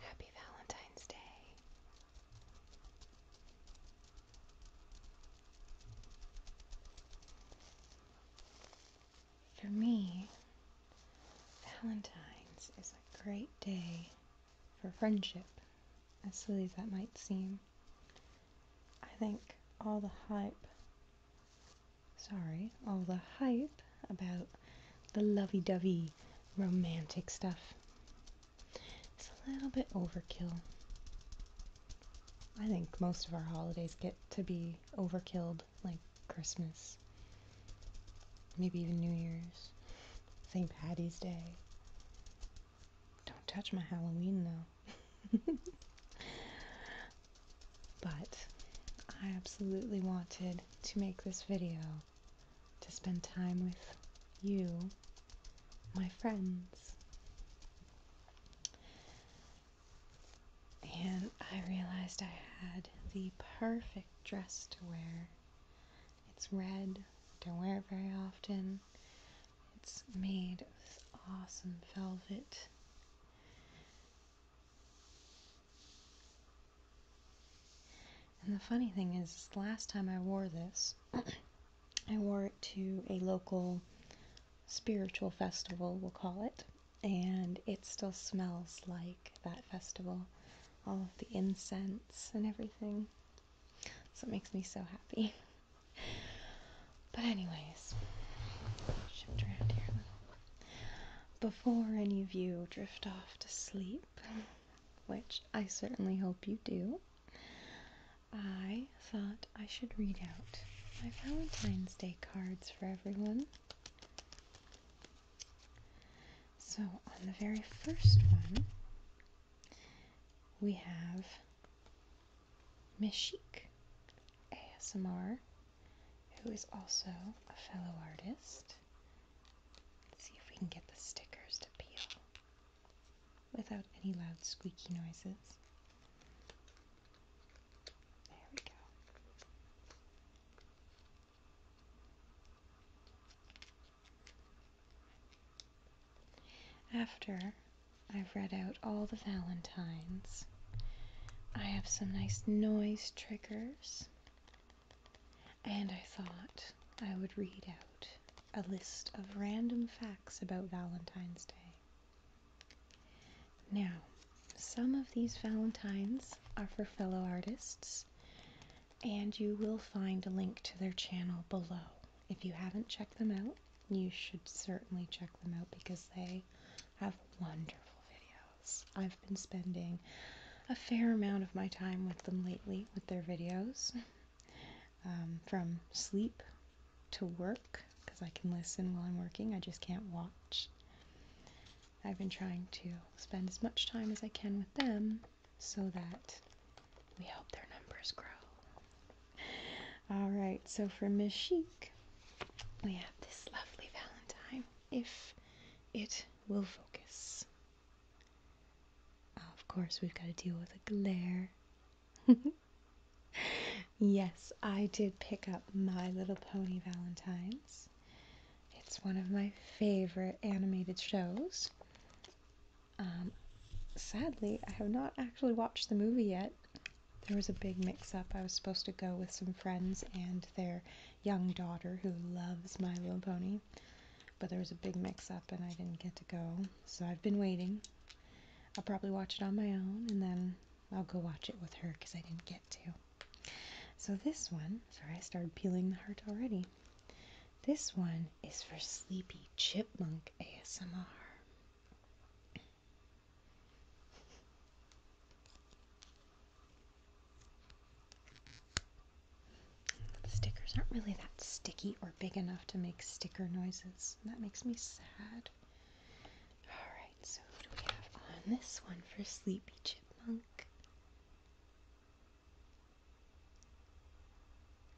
Happy Valentine's Day. For me, Valentine's is a great day for friendship, as silly as that might seem. I think all the hype, sorry, all the hype about the lovey dovey romantic stuff. It's a little bit overkill. I think most of our holidays get to be overkill, like Christmas, maybe even New Year's, St. Patty's Day. Don't touch my Halloween though. but I absolutely wanted to make this video to spend time with you, my friends. And I realized I had the perfect dress to wear. It's red, don't wear it very often. It's made of awesome velvet. And the funny thing is, last time I wore this, I wore it to a local spiritual festival, we'll call it, and it still smells like that festival. All of the incense and everything. So it makes me so happy. But, anyways, shift around here Before any of you drift off to sleep, which I certainly hope you do, I thought I should read out my Valentine's Day cards for everyone. So, on the very first one, we have Meshik ASMR, who is also a fellow artist Let's see if we can get the stickers to peel without any loud squeaky noises. There we go. After I've read out all the Valentines, I have some nice noise triggers and I thought I would read out a list of random facts about Valentine's Day. Now, some of these Valentines are for fellow artists, and you will find a link to their channel below. If you haven't checked them out, you should certainly check them out because they have wonderful videos. I've been spending a fair amount of my time with them lately with their videos. Um, from sleep to work, because I can listen while I'm working, I just can't watch. I've been trying to spend as much time as I can with them so that we help their numbers grow. All right, so for Miss Chic, we have this lovely Valentine, if it will focus. Oh, of course, we've got to deal with a glare. yes, I did pick up My Little Pony Valentine's. It's one of my favorite animated shows. Um, sadly, I have not actually watched the movie yet. There was a big mix up. I was supposed to go with some friends and their young daughter who loves My Little Pony. But there was a big mix up and I didn't get to go. So I've been waiting. I'll probably watch it on my own and then I'll go watch it with her because I didn't get to. So this one, sorry, I started peeling the heart already. This one is for Sleepy Chipmunk ASMR. Stickers aren't really that sticky or big enough to make sticker noises. That makes me sad. Alright, so who do we have on this one for Sleepy Chipmunk?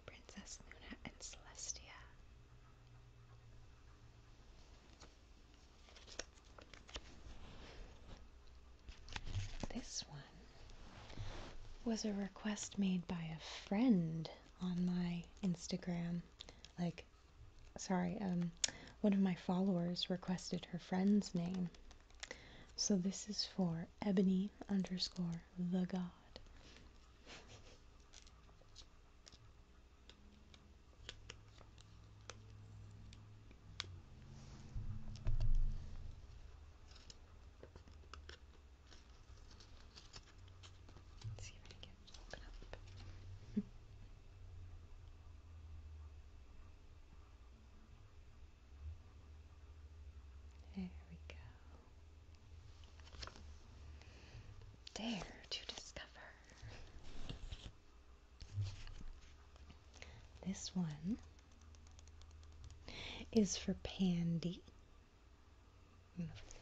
Princess Luna and Celestia. This one was a request made by a friend on my Instagram. Like, sorry, um, one of my followers requested her friend's name. So this is for Ebony underscore the God. Let's see if I open up. there we go. Dare to discover. This one is for Pandy.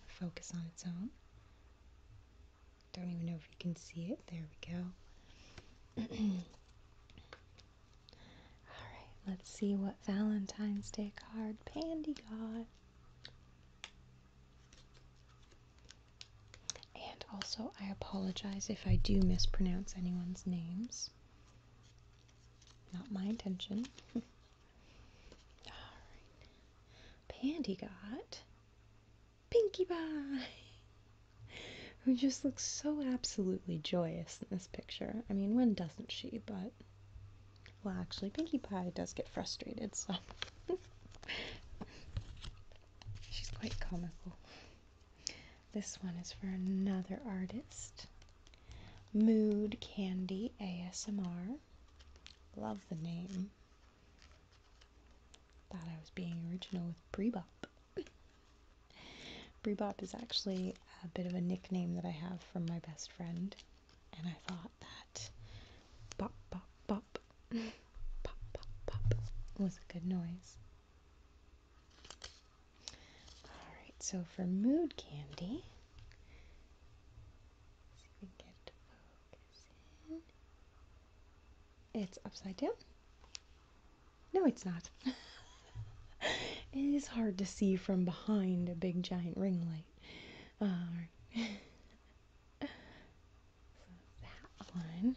focus on its own. Don't even know if you can see it. There we go. Alright, let's see what Valentine's Day card Pandy got. And also, I apologize if I do mispronounce anyone's names. Not my intention. All right. Pandy got Pinkie Pie, who just looks so absolutely joyous in this picture. I mean, when doesn't she? But, well, actually, Pinkie Pie does get frustrated, so she's quite comical. This one is for another artist. Mood Candy ASMR. Love the name. Thought I was being original with Brebop. Brebop is actually a bit of a nickname that I have from my best friend, and I thought that bop bop bop, pop pop was a good noise. All right, so for mood candy, It's upside down. No, it's not. it is hard to see from behind a big giant ring light. Um, so that one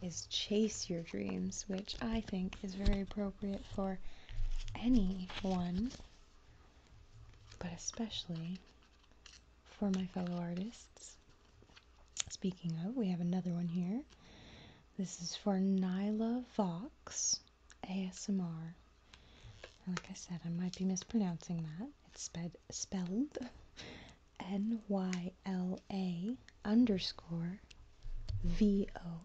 is Chase Your Dreams, which I think is very appropriate for anyone, but especially for my fellow artists. Speaking of, we have another one here. This is for Nyla Vox ASMR. Like I said, I might be mispronouncing that. It's spelled N Y L A underscore V O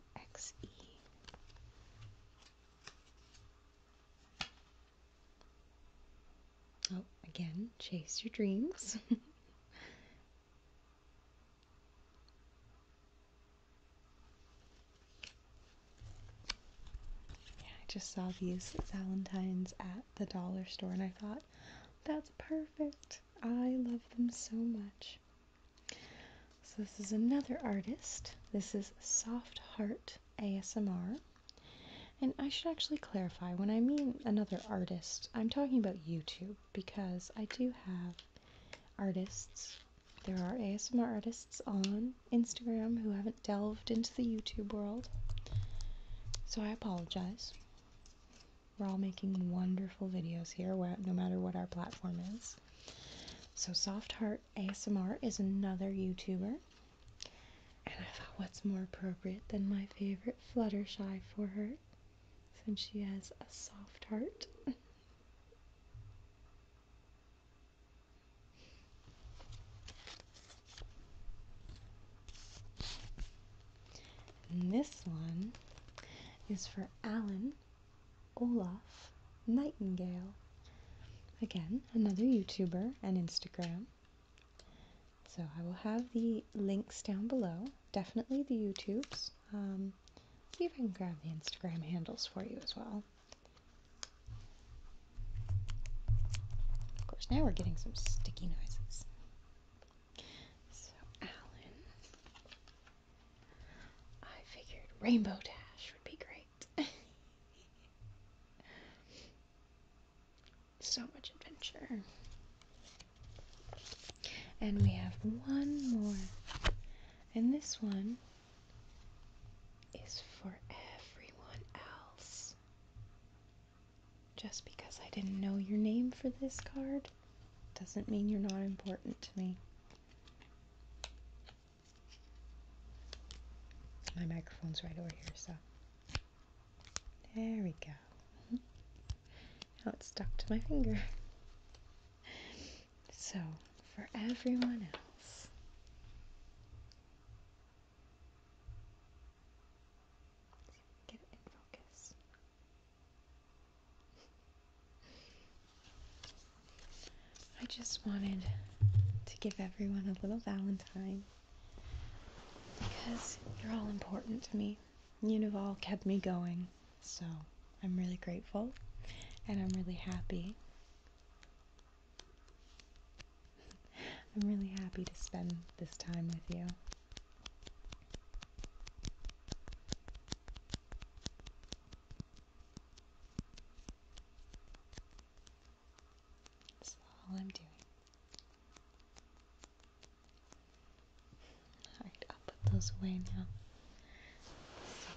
Oh, again, chase your dreams. Yeah, I just saw these Valentines at the dollar store and I thought, that's perfect. I love them so much. So this is another artist. This is Soft Heart ASMR. And I should actually clarify when I mean another artist, I'm talking about YouTube because I do have artists. There are ASMR artists on Instagram who haven't delved into the YouTube world. So I apologize. We're all making wonderful videos here, no matter what our platform is. So Soft Heart ASMR is another YouTuber. And I thought, what's more appropriate than my favorite Fluttershy for her, since she has a soft heart? this one is for Alan, Olaf Nightingale. Again, another YouTuber and Instagram. So I will have the links down below. Definitely the YouTubes. Um, see if I can grab the Instagram handles for you as well. Of course, now we're getting some sticky noises. So, Alan I figured Rainbow Dash would be great. so much adventure. And we have one more. And this one is for everyone else. Just because I didn't know your name for this card doesn't mean you're not important to me. My microphone's right over here, so. There we go. Now it's stuck to my finger. So, for everyone else, get it in focus. I just wanted to give everyone a little Valentine because you're all important to me. You've all kept me going, so I'm really grateful and I'm really happy. I'm really happy to spend this time with you. That's all I'm doing. Alright, I'll put those away now. So,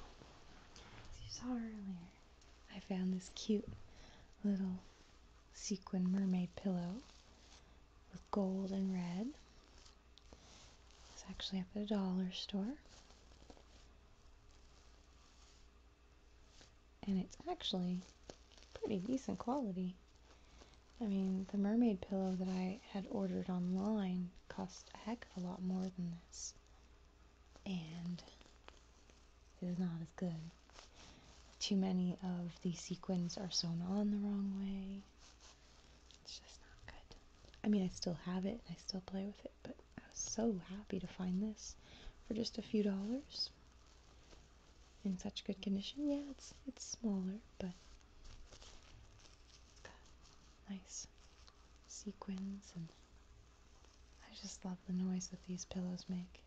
as you saw earlier, I found this cute little sequin mermaid pillow with gold and red. It's actually up at a dollar store. And it's actually pretty decent quality. I mean, the mermaid pillow that I had ordered online cost a heck of a lot more than this. And it is not as good. Too many of the sequins are sewn on the wrong way. It's just not good. I mean, I still have it and I still play with it, but I was so happy to find this for just a few dollars in such good condition. Yeah, it's it's smaller, but nice sequins and I just love the noise that these pillows make.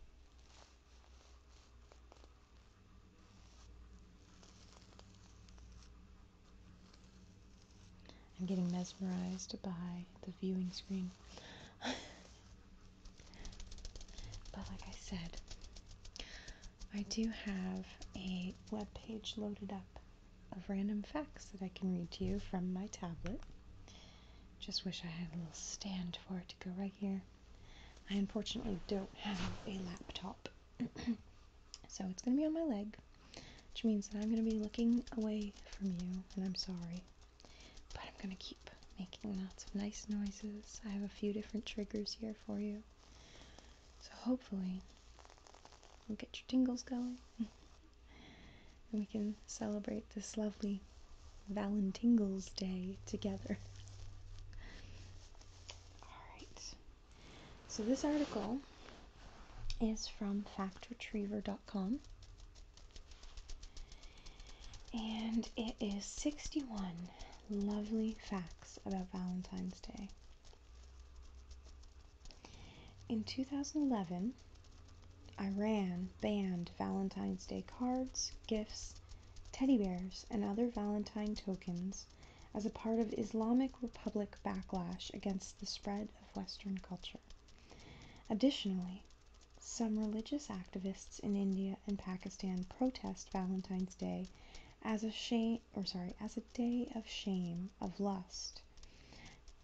I'm getting mesmerized by the viewing screen. but like I said, I do have a web page loaded up of random facts that I can read to you from my tablet. Just wish I had a little stand for it to go right here. I unfortunately don't have a laptop so it's going to be on my leg, which means that I'm going to be looking away from you, and I'm sorry. But I'm going to keep making lots of nice noises. I have a few different triggers here for you. So hopefully, we'll get your tingles going. and we can celebrate this lovely Valentine's Day together. All right. So this article is from factretriever.com and it is 61 lovely facts about Valentine's Day. In 2011, Iran banned Valentine's Day cards, gifts, teddy bears, and other Valentine tokens as a part of Islamic Republic backlash against the spread of Western culture. Additionally, some religious activists in India and Pakistan protest Valentine's Day as a shame or sorry, as a day of shame of lust.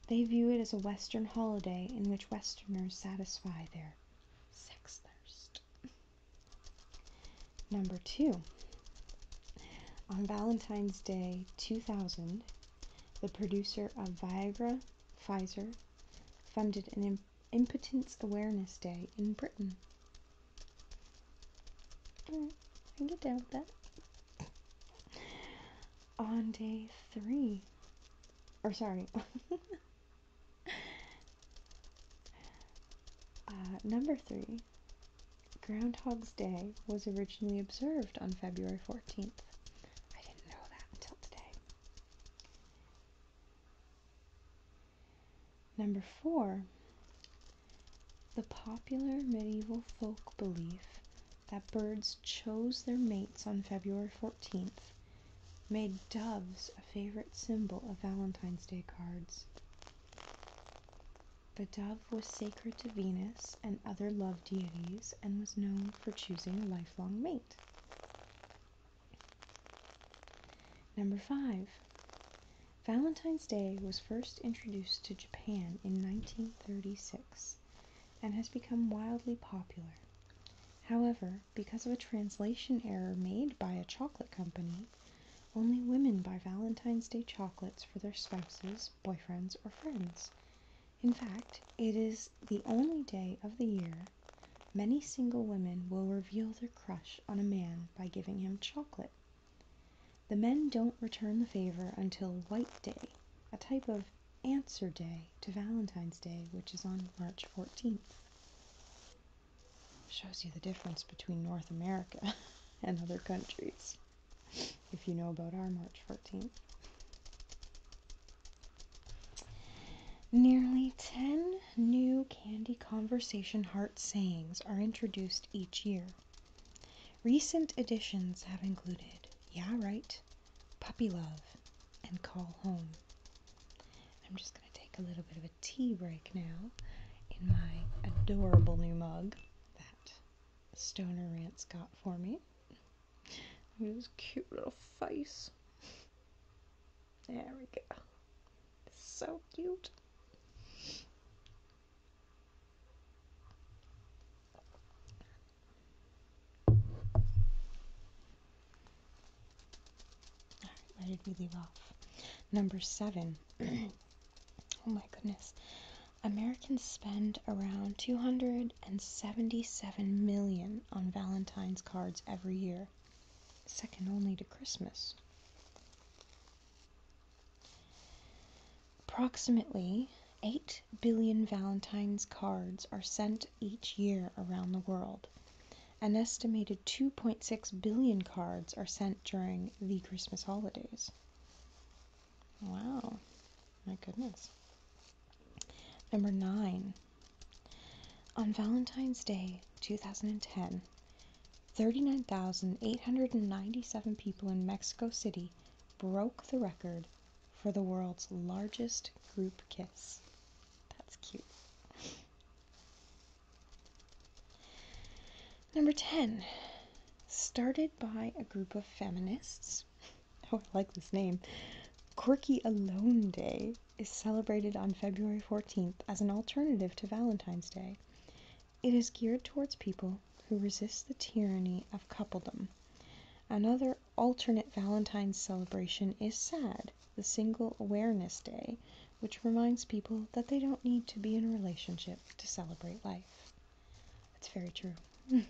They view it as a Western holiday in which Westerners satisfy their sex thirst. Number two, on Valentine's Day 2000, the producer of Viagra, Pfizer, funded an Impotence Awareness Day in Britain. can get down with that. On day three, or sorry, uh, number three, Groundhog's Day was originally observed on February 14th. I didn't know that until today. Number four, the popular medieval folk belief that birds chose their mates on February 14th made doves a favorite symbol of Valentine's Day cards. The dove was sacred to Venus and other love deities and was known for choosing a lifelong mate. Number 5. Valentine's Day was first introduced to Japan in 1936 and has become wildly popular. However, because of a translation error made by a chocolate company, only women buy Valentine's Day chocolates for their spouses boyfriends, or friends. In fact, it is the only day of the year many single women will reveal their crush on a man by giving him chocolate. The men don't return the favor until White Day, a type of answer day to Valentine's Day, which is on March 14th. Shows you the difference between North America and other countries if you know about our March 14th. Nearly 10 new Candy Conversation Heart sayings are introduced each year. Recent additions have included Yeah Right, Puppy Love, and Call Home. I'm just going to take a little bit of a tea break now in my adorable new mug that stoner rants got for me. Look at his cute little face. There we go. so cute. Alright, where did we leave off? Number seven. oh my goodness. Americans spend around 277 million on Valentine's cards every year, second only to Christmas. Approximately 8 billion Valentine's cards are sent each year around the world. An estimated 2.6 billion cards are sent during the Christmas holidays. Wow. My goodness. Number nine. On Valentine's Day 2010, 39,897 people in Mexico City broke the record for the world's largest group kiss. That's cute. Number 10 started by a group of feminists. Oh, I like this name. Quirky Alone Day is celebrated on February 14th as an alternative to Valentine's Day. It is geared towards people who resist the tyranny of coupledom. Another alternate Valentine's celebration is SAD, the Single Awareness Day, which reminds people that they don't need to be in a relationship to celebrate life. That's very true. I'm going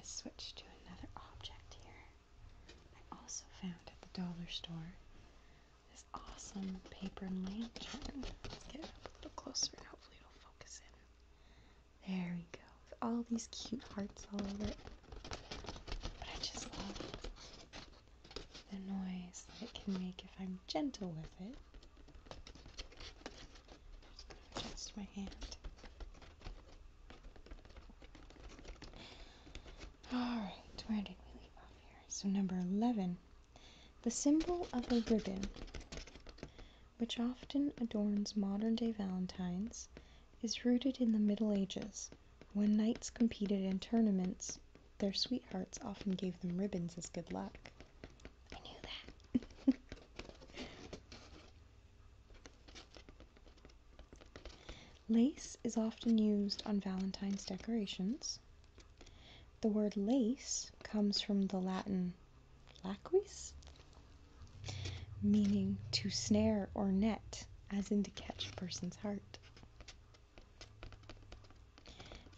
to switch to another object here. I also found at the dollar store this awesome paper lantern. Let's get it up a little closer and hopefully it'll focus in. There we go. With all these cute hearts all over it. But I just love the noise that it can make if I'm gentle with it. Just my hand. Alright, where did we leave off here? So, number 11 the symbol of a ribbon, which often adorns modern day Valentines, is rooted in the Middle Ages. When knights competed in tournaments, their sweethearts often gave them ribbons as good luck. lace is often used on Valentine's decorations. The word lace comes from the Latin laquis, meaning to snare or net, as in to catch a person's heart.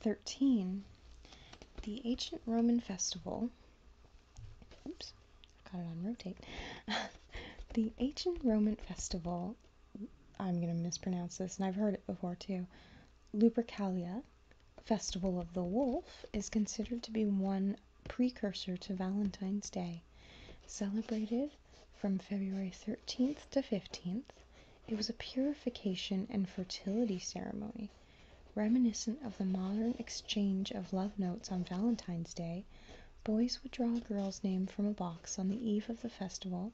13. The ancient Roman festival, oops, I've got it on rotate. the ancient Roman festival, I'm going to mispronounce this, and I've heard it before too. Lupercalia, Festival of the Wolf, is considered to be one precursor to Valentine's Day. Celebrated from February 13th to 15th, it was a purification and fertility ceremony Reminiscent of the modern exchange of love notes on Valentine's Day, boys would draw a girl's name from a box on the eve of the festival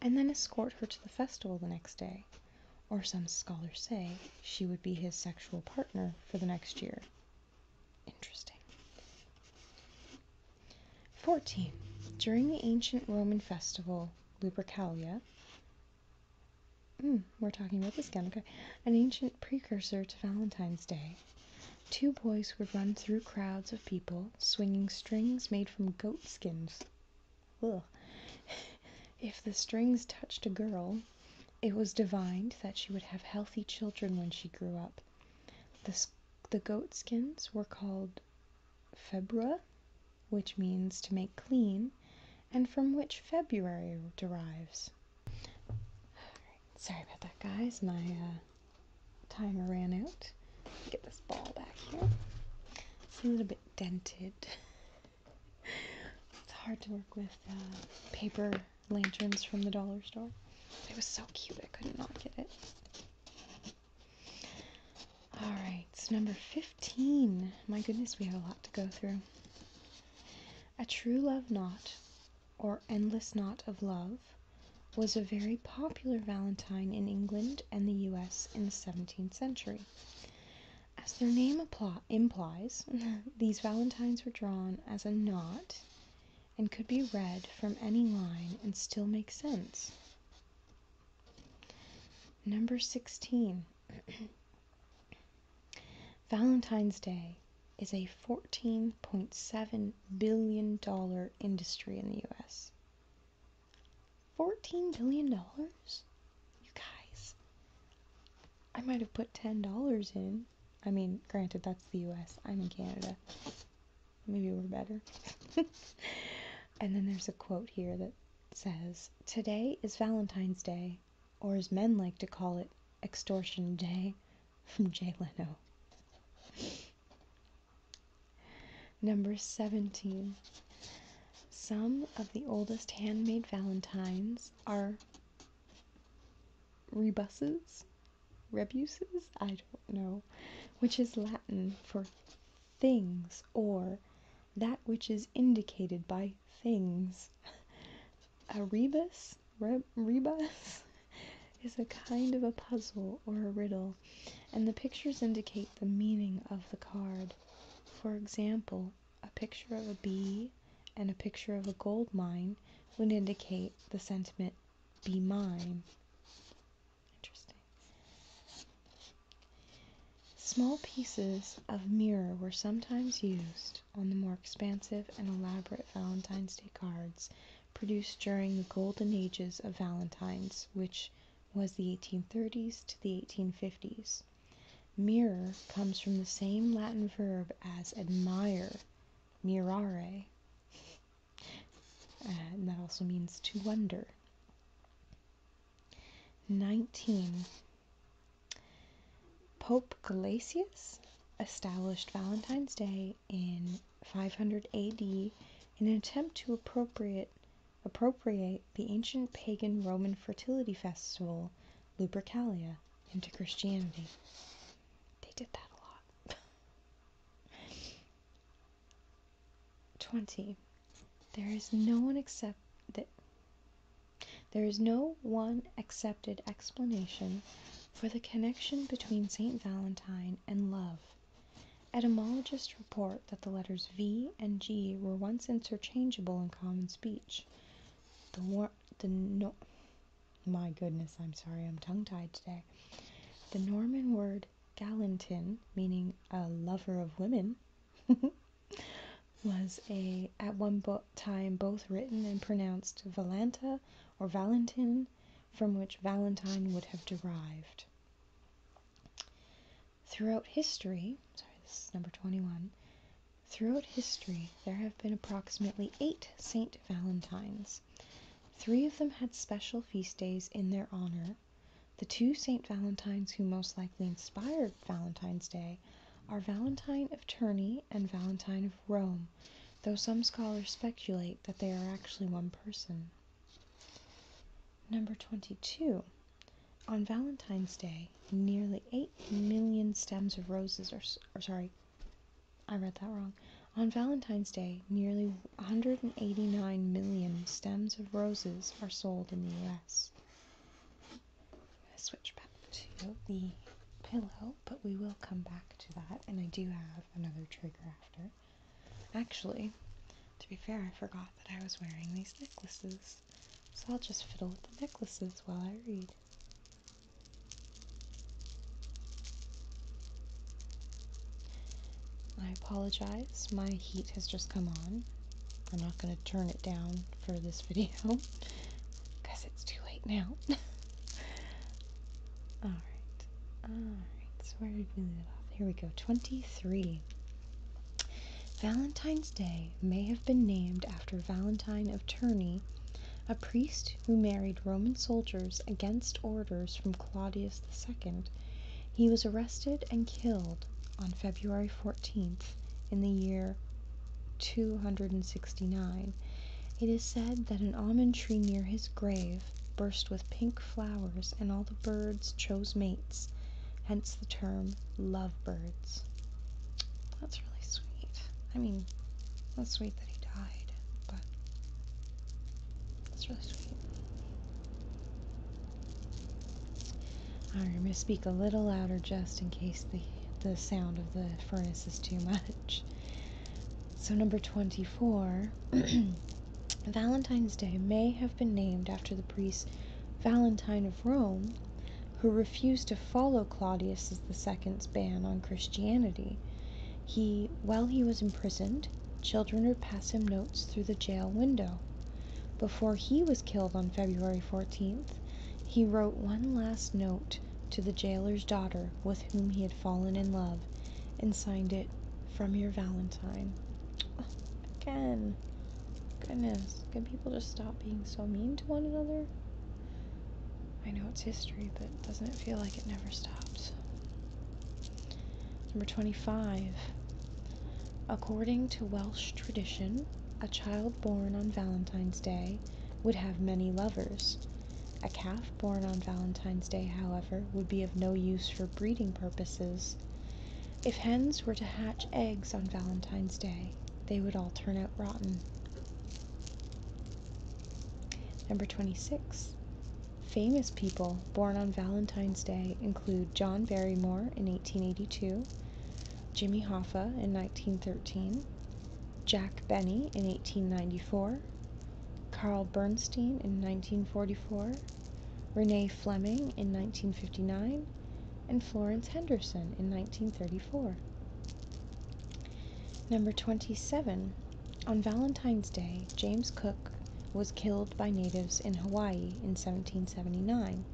and then escort her to the festival the next day, or some scholars say she would be his sexual partner for the next year. Interesting. 14. During the ancient Roman festival, Lupercalia Hmm, we're talking about this again, okay. An ancient precursor to Valentine's Day. Two boys would run through crowds of people swinging strings made from goat skins. If the strings touched a girl, it was divined that she would have healthy children when she grew up. The, the goat skins were called februa, which means to make clean, and from which February derives. sorry about that, guys. My uh, timer ran out. Get this ball back here. It's a little bit dented. it's hard to work with uh, paper lanterns from the dollar store. It was so cute, I could not get it. All right it's number 15. My goodness, we have a lot to go through. A true love knot, or endless knot of love, was a very popular valentine in England and the US in the 17th century. As their name implies, these valentines were drawn as a knot and could be read from any line and still make sense. Number 16. Valentine's Day is a $14.7 billion industry in the US. $14 billion? You guys. I might have put $10 in. I mean, granted, that's the US. I'm in Canada. Maybe we're better. and then there's a quote here that says Today is Valentine's Day, or as men like to call it, Extortion Day, from Jay Leno. Number 17. Some of the oldest handmade valentines are rebuses, rebuses, I don't know, which is Latin for things or that which is indicated by things. A rebus, rebus is a kind of a puzzle or a riddle, and the pictures indicate the meaning of the card. For example, a picture of a bee and a picture of a gold mine would indicate the sentiment, be mine. Interesting. Small pieces of mirror were sometimes used on the more expansive and elaborate Valentine's Day cards produced during the golden ages of Valentines, which was the 1830s to the 1850s. Mirror comes from the same Latin verb as admire, mirare, and that also means to wonder. 19. Pope Galasius established Valentine's Day in 500 AD in an attempt to appropriate, appropriate the ancient pagan Roman fertility festival, Lupercalia, into Christianity. They did that a lot. 20. There is no one except that there is no one accepted explanation for the connection between St. Valentine and love. Etymologists report that the letters V and G were once interchangeable in common speech. The war- the no- my goodness, I'm sorry, I'm tongue-tied today. The Norman word galantin, meaning a lover of women, was a at one time both written and pronounced Valenta or Valentin, from which Valentine would have derived. Throughout history, sorry, this is number 21. Throughout history, there have been approximately eight Saint Valentines. Three of them had special feast days in their honor. The two Saint Valentines who most likely inspired Valentine's Day are Valentine of Tournai and Valentine of Rome, though some scholars speculate that they are actually one person. Number 22. On Valentine's Day, nearly 8 million stems of roses are, sorry, I read that wrong. On Valentine's Day, nearly 189 million stems of roses are sold in the US. I'm going to switch back to the pillow, but we will come back to that, and I do have another trigger after. Actually, to be fair, I forgot that I was wearing these necklaces, so I'll just fiddle with the necklaces while I read. I apologize, my heat has just come on. I'm not going to turn it down for this video because it's too late now. Alright, alright, so where did we leave off? Here we go, 23. Valentine's Day may have been named after Valentine of Tourney, a priest who married Roman soldiers against orders from Claudius the Second. He was arrested and killed on February 14th in the year 269, it is said that an almond tree near his grave burst with pink flowers and all the birds chose mates, hence the term lovebirds. That's really sweet. I mean, that's sweet that he died, but it's really sweet. I'm going to speak a little louder just in case the, the sound of the furnace is too much. So, number 24 Valentine's Day may have been named after the priest Valentine of Rome, who refused to follow Claudius II's ban on Christianity. He, while he was imprisoned, children would pass him notes through the jail window. Before he was killed on February 14th, he wrote one last note to the jailer's daughter with whom he had fallen in love and signed it, From Your Valentine. again, goodness, can people just stop being so mean to one another? I know it's history, but doesn't it feel like it never stops? Number 25. According to Welsh tradition, a child born on Valentine's Day would have many lovers. A calf born on Valentine's Day, however, would be of no use for breeding purposes. If hens were to hatch eggs on Valentine's Day, they would all turn out rotten. Number 26. Famous people born on Valentine's Day include John Barrymore in 1882, Jimmy Hoffa in 1913, Jack Benny in 1894, Carl Bernstein in 1944, Renee Fleming in 1959, and Florence Henderson in 1934. Number 27. On Valentine's Day, James Cook was killed by natives in Hawaii in 1779.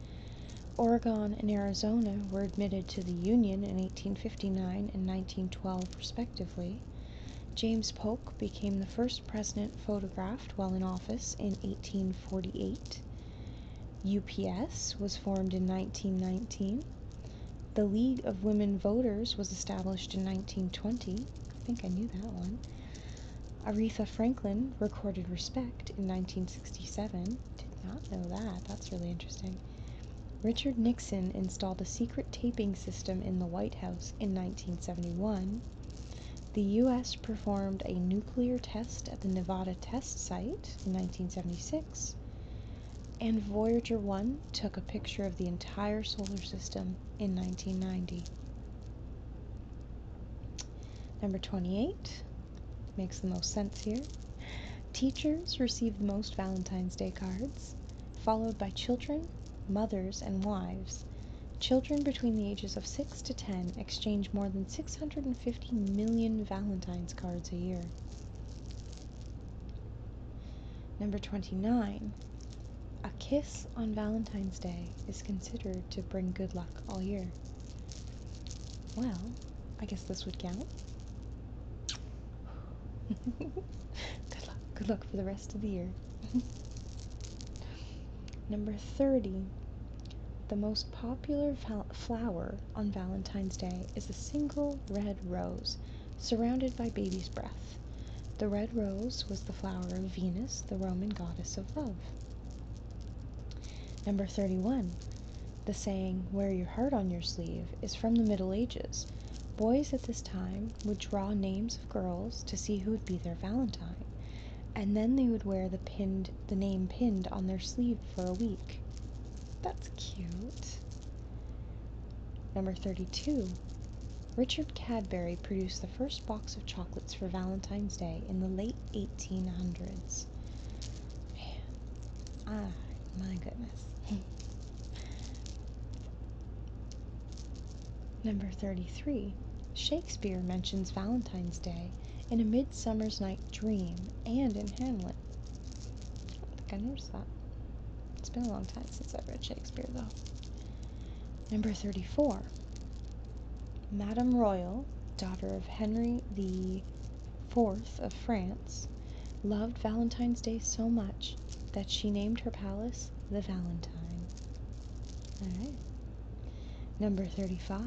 Oregon and Arizona were admitted to the Union in 1859 and 1912, respectively. James Polk became the first president photographed while in office in 1848. UPS was formed in 1919. The League of Women Voters was established in 1920. I think I knew that one. Aretha Franklin recorded Respect in 1925. 1967. Did not know that. That's really interesting. Richard Nixon installed a secret taping system in the White House in 1971. The U.S. performed a nuclear test at the Nevada test site in 1976. And Voyager 1 took a picture of the entire solar system in 1990. Number 28. Makes the most sense here. Teachers receive the most Valentine's Day cards, followed by children, mothers, and wives. Children between the ages of 6 to 10 exchange more than 650 million Valentine's cards a year. Number 29. A kiss on Valentine's Day is considered to bring good luck all year. Well, I guess this would count. good luck. Good luck for the rest of the year. Number 30. The most popular flower on Valentine's Day is a single red rose surrounded by baby's breath. The red rose was the flower of Venus, the Roman goddess of love. Number 31. The saying, "Wear your heart on your sleeve," is from the Middle Ages. Boys at this time would draw names of girls to see who would be their valentine, and then they would wear the pinned the name pinned on their sleeve for a week. That's cute. Number 32. Richard Cadbury produced the first box of chocolates for Valentine's Day in the late 1800s. Ah, my goodness. Number 33. Shakespeare mentions Valentine's Day in A Midsummer's Night Dream and in Hamlet. Oh, I think I noticed that. It's been a long time since i read Shakespeare, though. Number 34. Madame Royal, daughter of Henry the Fourth of France, loved Valentine's Day so much that she named her palace the Valentine. Number 35.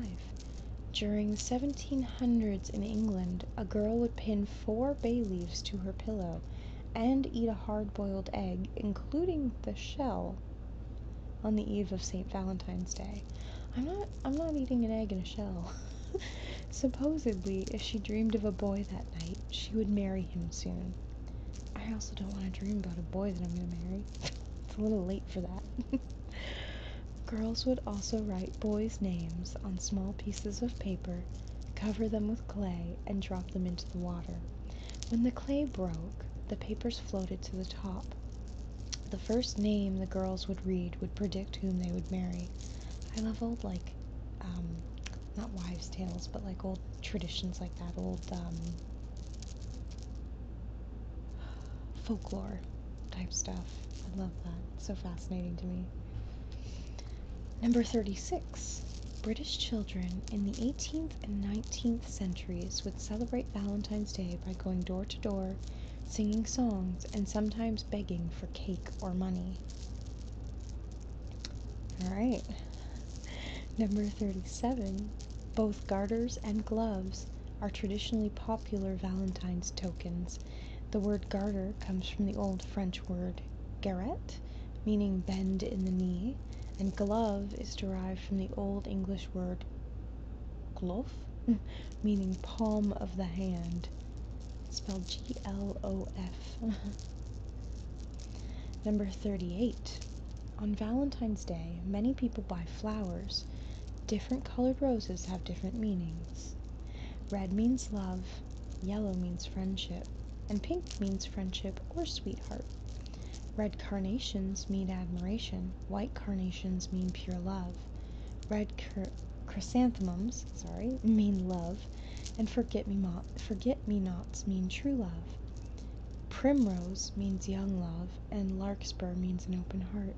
During the 1700s in England, a girl would pin four bay leaves to her pillow and eat a hard boiled egg, including the shell, on the eve of St. Valentine's Day. I'm not I'm not eating an egg in a shell. Supposedly, if she dreamed of a boy that night, she would marry him soon. I also don't want to dream about a boy that I'm going to marry. it's a little late for that. Girls would also write boys' names on small pieces of paper, cover them with clay, and drop them into the water. When the clay broke, the papers floated to the top. The first name the girls would read would predict whom they would marry. I love old, like, um, not wives' tales, but like old traditions like that, old um, folklore type stuff. I love that. so fascinating to me. Number 36. British children in the 18th and 19th centuries would celebrate Valentine's Day by going door to door singing songs, and sometimes begging for cake or money. All right. Number 37. Both garters and gloves are traditionally popular Valentine's tokens. The word garter comes from the old French word garret, meaning bend in the knee, and glove is derived from the old English word glove, meaning palm of the hand. Spelled G L O F. Number 38. On Valentine's Day, many people buy flowers. Different colored roses have different meanings. Red means love, yellow means friendship, and pink means friendship or sweetheart. Red carnations mean admiration, white carnations mean pure love. Red chrysanthemums sorry, mean love, and forget me not forget me nots mean true love. Primrose means young love, and larkspur means an open heart.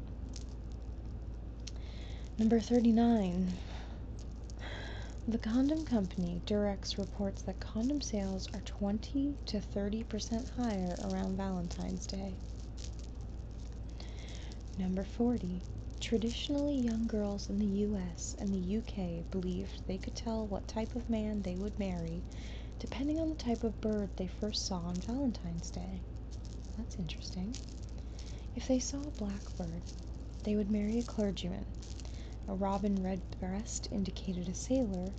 Number 39. The condom company Durex reports that condom sales are 20 to 30% higher around Valentine's Day. Number 40. Traditionally, young girls in the US and the UK believed they could tell what type of man they would marry depending on the type of bird they first saw on Valentine's Day. That's interesting. If they saw a blackbird, they would marry a clergyman. A robin redbreast indicated a sailor,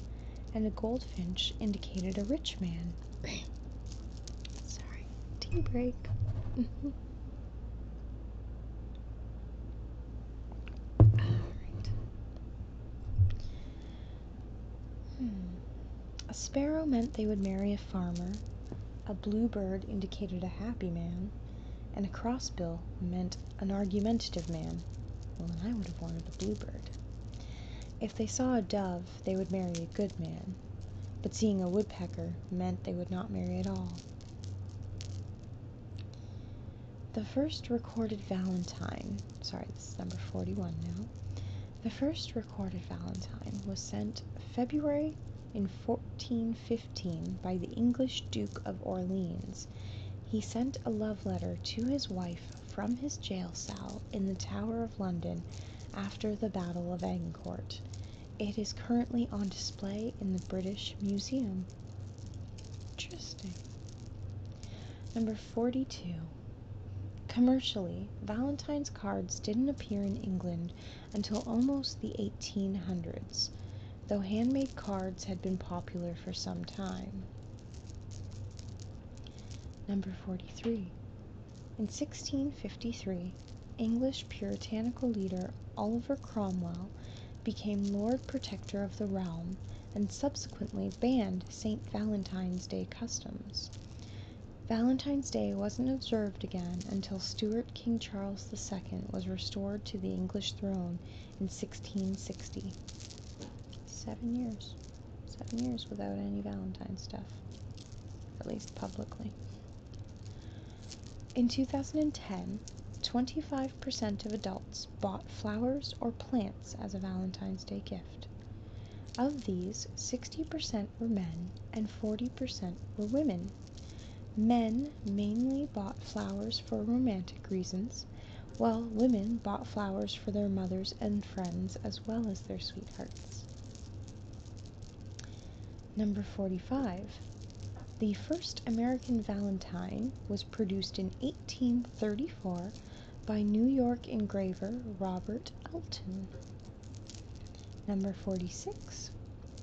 and a goldfinch indicated a rich man. Sorry. Tea break. Mm-hmm. Hmm. A sparrow meant they would marry a farmer. A bluebird indicated a happy man, and a crossbill meant an argumentative man. Well, then I would have wanted a bluebird. If they saw a dove, they would marry a good man but seeing a woodpecker meant they would not marry at all. The first recorded Valentine, sorry, this is number 41 now. The first recorded Valentine was sent February in 1415 by the English Duke of Orleans. He sent a love letter to his wife from his jail cell in the Tower of London after the Battle of Agincourt. It is currently on display in the British Museum. Interesting. Number 42. Commercially, Valentine's cards didn't appear in England until almost the 1800s, though handmade cards had been popular for some time. Number 43. In 1653, English puritanical leader Oliver Cromwell became Lord Protector of the realm and subsequently banned St. Valentine's Day customs. Valentine's Day wasn't observed again until Stuart King Charles II was restored to the English throne in 1660. Seven years. Seven years without any Valentine stuff, at least publicly. In 2010, 25% of adults bought flowers or plants as a Valentine's Day gift. Of these, 60% were men and 40% were women. Men mainly bought flowers for romantic reasons, while women bought flowers for their mothers and friends as well as their sweethearts. Number 45. The first American valentine was produced in 1834 by New York engraver Robert Elton. Number 46.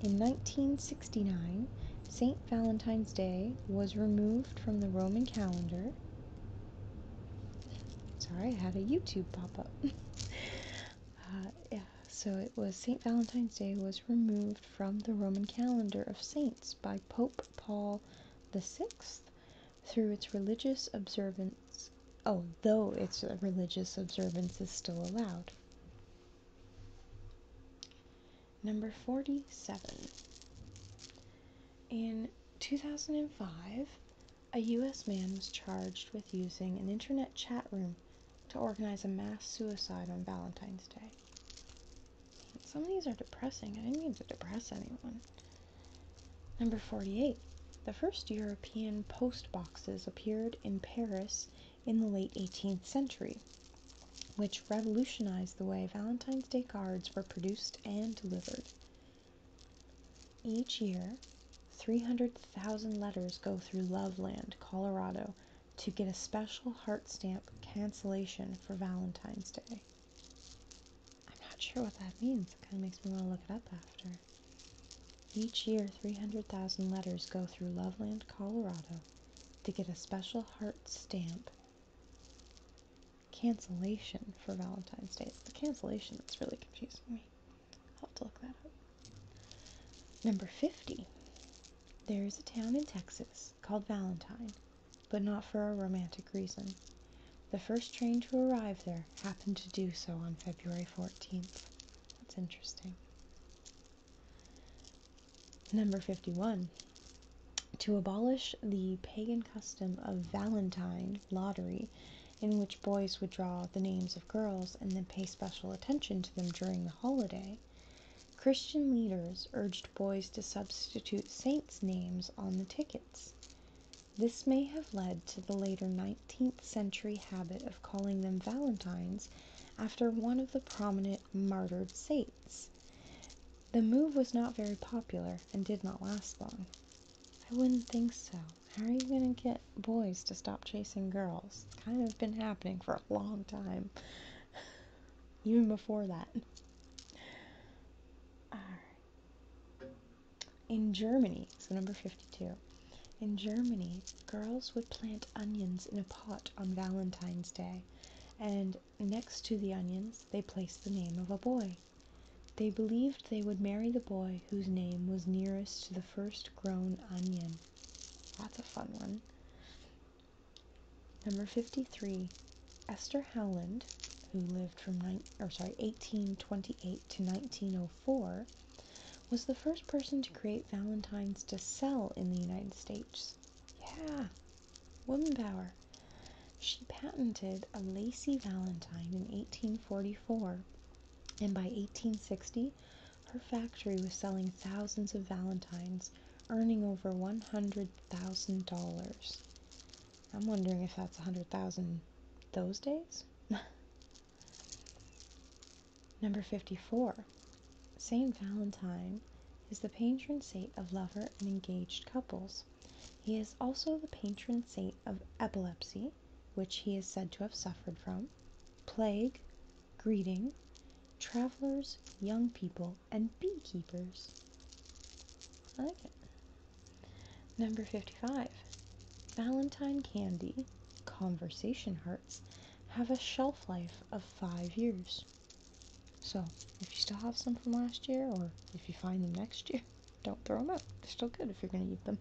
In 1969, St. Valentine's Day was removed from the Roman calendar. Sorry, I had a YouTube pop up. Uh, yeah. So it was St. Valentine's Day was removed from the Roman calendar of saints by Pope Paul VI through its religious observance, oh, though its religious observance is still allowed. Number 47. In 2005, a US man was charged with using an internet chat room to organize a mass suicide on Valentine's Day. some of these are depressing. I didn't mean to depress anyone. Number 48. The first European post boxes appeared in Paris in the late 18th century, which revolutionized the way Valentine's Day cards were produced and delivered. Each year, 300,000 letters go through Loveland, Colorado, to get a special heart stamp cancellation for Valentine's Day. I'm not sure what that means. It kind of makes me want to look it up after. Each year, 300,000 letters go through Loveland, Colorado to get a special heart stamp cancellation for Valentine's Day. the cancellation that's really confusing me. I'll have to look that up. Number 50. There is a town in Texas called Valentine, but not for a romantic reason. The first train to arrive there happened to do so on February 14th. That's interesting. Number 51. To abolish the pagan custom of Valentine lottery, in which boys would draw the names of girls and then pay special attention to them during the holiday, Christian leaders urged boys to substitute saints' names on the tickets. This may have led to the later 19th century habit of calling them Valentines after one of the prominent martyred saints. The move was not very popular and did not last long. I wouldn't think so. How are you going to get boys to stop chasing girls. It's kind of been happening for a long time, even before that. In Germany, so number 52. In Germany, girls would plant onions in a pot on Valentine's Day, and next to the onions, they placed the name of a boy. They believed they would marry the boy whose name was nearest to the first grown onion. That's a fun one. Number 53, Esther Howland, who lived from or sorry, 1828 to 1904, was the first person to create valentines to sell in the United States. Yeah, woman power. She patented a lacy valentine in 1844, and by 1860 her factory was selling thousands of Valentines, earning over $100,000. I'm wondering if that's a 100,000 those days? Number 54. Saint Valentine is the patron saint of lover and engaged couples. He is also the patron saint of epilepsy, which he is said to have suffered from, plague, greeting, travelers, young people, and beekeepers. I like it. Number 55. Valentine candy, conversation hearts, have a shelf life of five years. So, if you still have some from last year, or if you find them next year, don't throw them out. They're still good if you're going to eat them.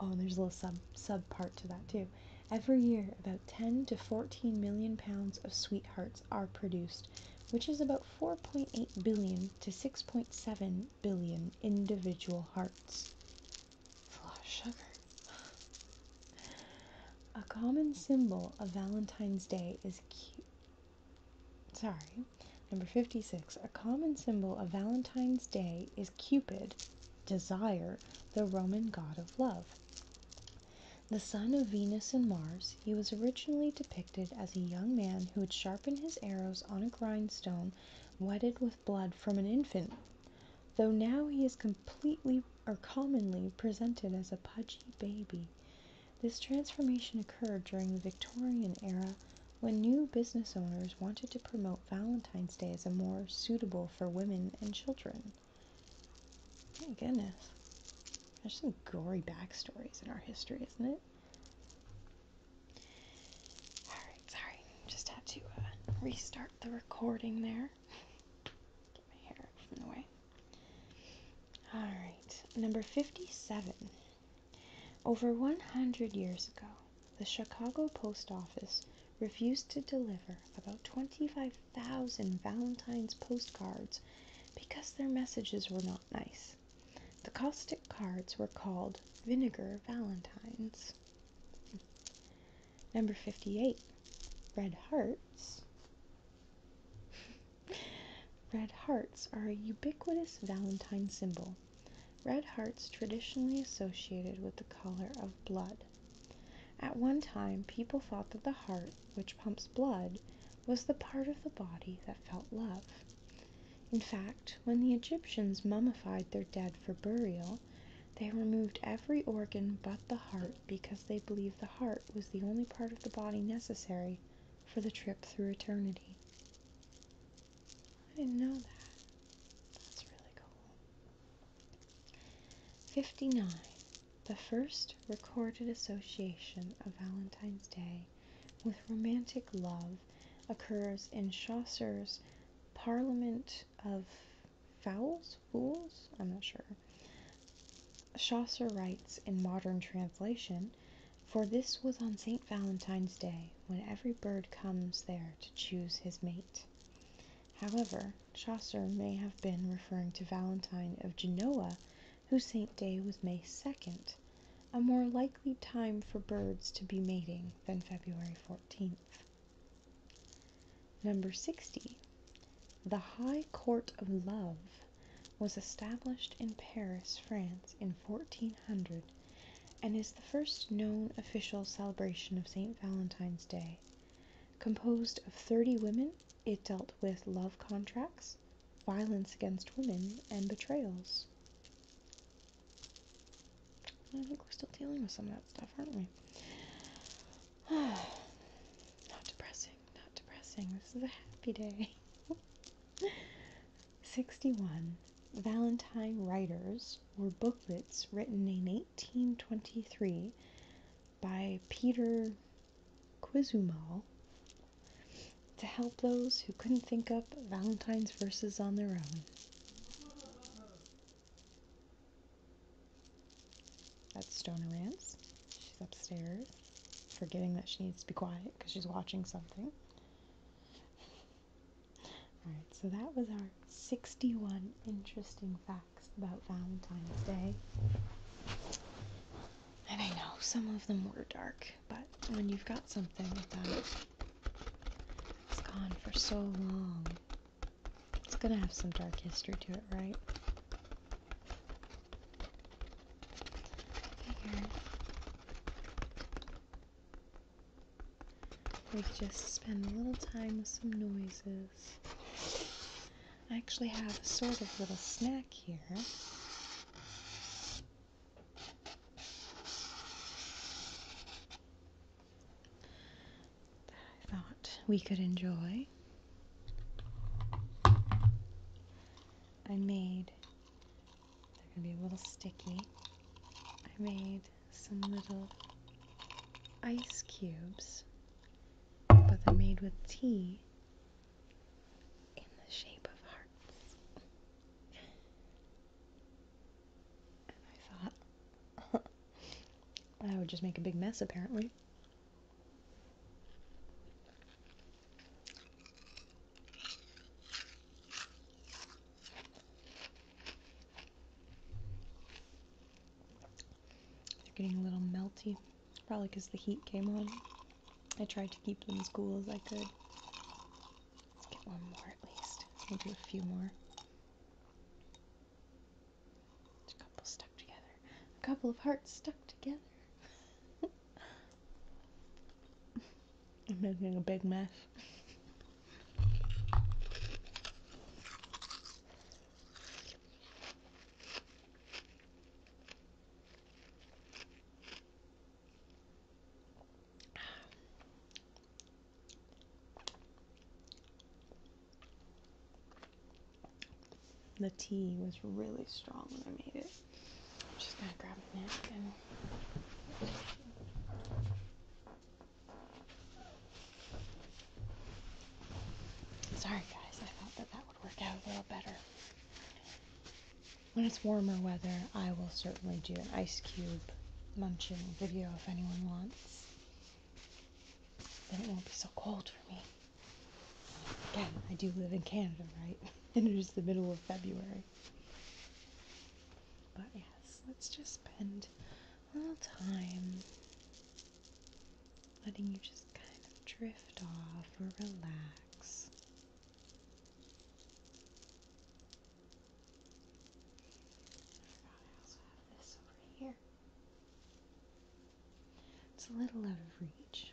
Oh, and there's a little sub sub part to that too. Every year, about 10 to 14 million pounds of sweethearts are produced, which is about 4.8 billion to 6.7 billion individual hearts. That's a sugar. A common symbol of Valentine's Day is cute. Sorry. Number 56. A common symbol of Valentine's Day is Cupid, Desire, the Roman god of love. The son of Venus and Mars, he was originally depicted as a young man who had sharpened his arrows on a grindstone wetted with blood from an infant, though now he is completely or commonly presented as a pudgy baby. This transformation occurred during the Victorian era when new business owners wanted to promote Valentine's Day is a more suitable for women and children. My goodness. There's some gory backstories in our history, isn't it? Alright, sorry. Just had to uh, restart the recording there. Get my hair from the way. Alright, number 57. Over 100 years ago, the Chicago Post Office refused to deliver about 25,000 Valentine's postcards because their messages were not nice. The caustic cards were called Vinegar Valentines. Number 58, Red Hearts. Red hearts are a ubiquitous Valentine symbol. Red hearts traditionally associated with the color of blood. At one time, people thought that the heart, which pumps blood, was the part of the body that felt love. In fact, when the Egyptians mummified their dead for burial, they removed every organ but the heart because they believed the heart was the only part of the body necessary for the trip through eternity. I didn't know that. That's really cool. 59. The first recorded association of Valentine's Day with romantic love occurs in Chaucer's Parliament of Fowls? Fools? I'm not sure. Chaucer writes in modern translation For this was on St. Valentine's Day, when every bird comes there to choose his mate. However, Chaucer may have been referring to Valentine of Genoa, whose saint day was May 2nd, a more likely time for birds to be mating than February 14th. Number 60. The High Court of Love was established in Paris, France in 1400 and is the first known official celebration of St. Valentine's Day Composed of 30 women, it dealt with love contracts, violence against women, and betrayals. I think we're still dealing with some of that stuff, aren't we? not depressing, not depressing. This is a happy day. 61. Valentine Writers were booklets written in 1823 by Peter Quizumal to help those who couldn't think up Valentine's verses on their own. That's Stonerance. She's upstairs, forgetting that she needs to be quiet because she's watching something. Alright, so that was our 61 interesting facts about Valentine's Day. And I know some of them were dark, but when you've got something that, has gone for so long. It's gonna have some dark history to it, right? Figured we just spend a little time with some noises. I actually have a sort of little snack here. That I thought we could enjoy. I made, they're going to be a little sticky. I made some little ice cubes, but they're made with tea in the shape of hearts. and I thought I would just make a big mess apparently. They're getting a little melty, probably because the heat came on. I tried to keep them as cool as I could. get one more at least. We'll do a few more. a couple stuck together. A couple of hearts stuck together. I'm making a big mess. The tea was really strong when I made it. I'm just gonna grab a napkin. Sorry guys, I thought that that would work out a little better. When it's warmer weather, I will certainly do an ice cube munching video if anyone wants. Then it won't be so cold for me. Again, I do live in Canada, right? and it is the middle of February. But yes, let's just spend little time letting you just kind of drift off or relax. I also have this over here. It's a little out of reach.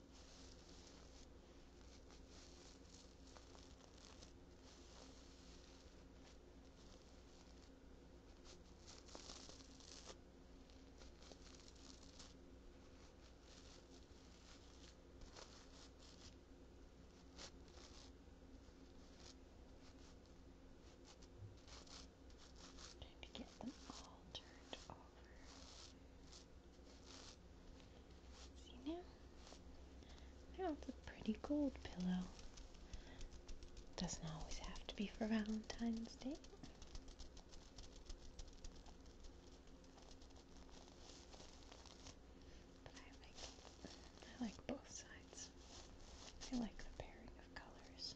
Trying to get them all turned over. See now? That's a pretty gold pillow. Doesn't always have to be for Valentine's Day. But I like both sides. I like the pairing of colors.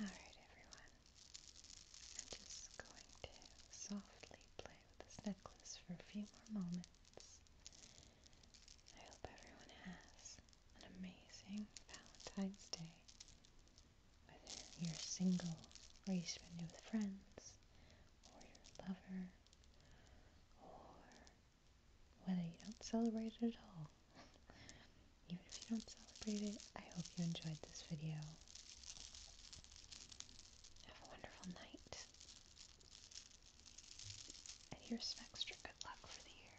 All right, everyone. I'm just going to softly play with this necklace for a few more moments. I hope everyone has an amazing Valentine's Day. Whether you're single or you spend it with friends or your lover or whether you don't celebrate it at all. Even if you don't celebrate it, I hope you enjoyed this video. Have a wonderful night. And here's some extra good luck for the year.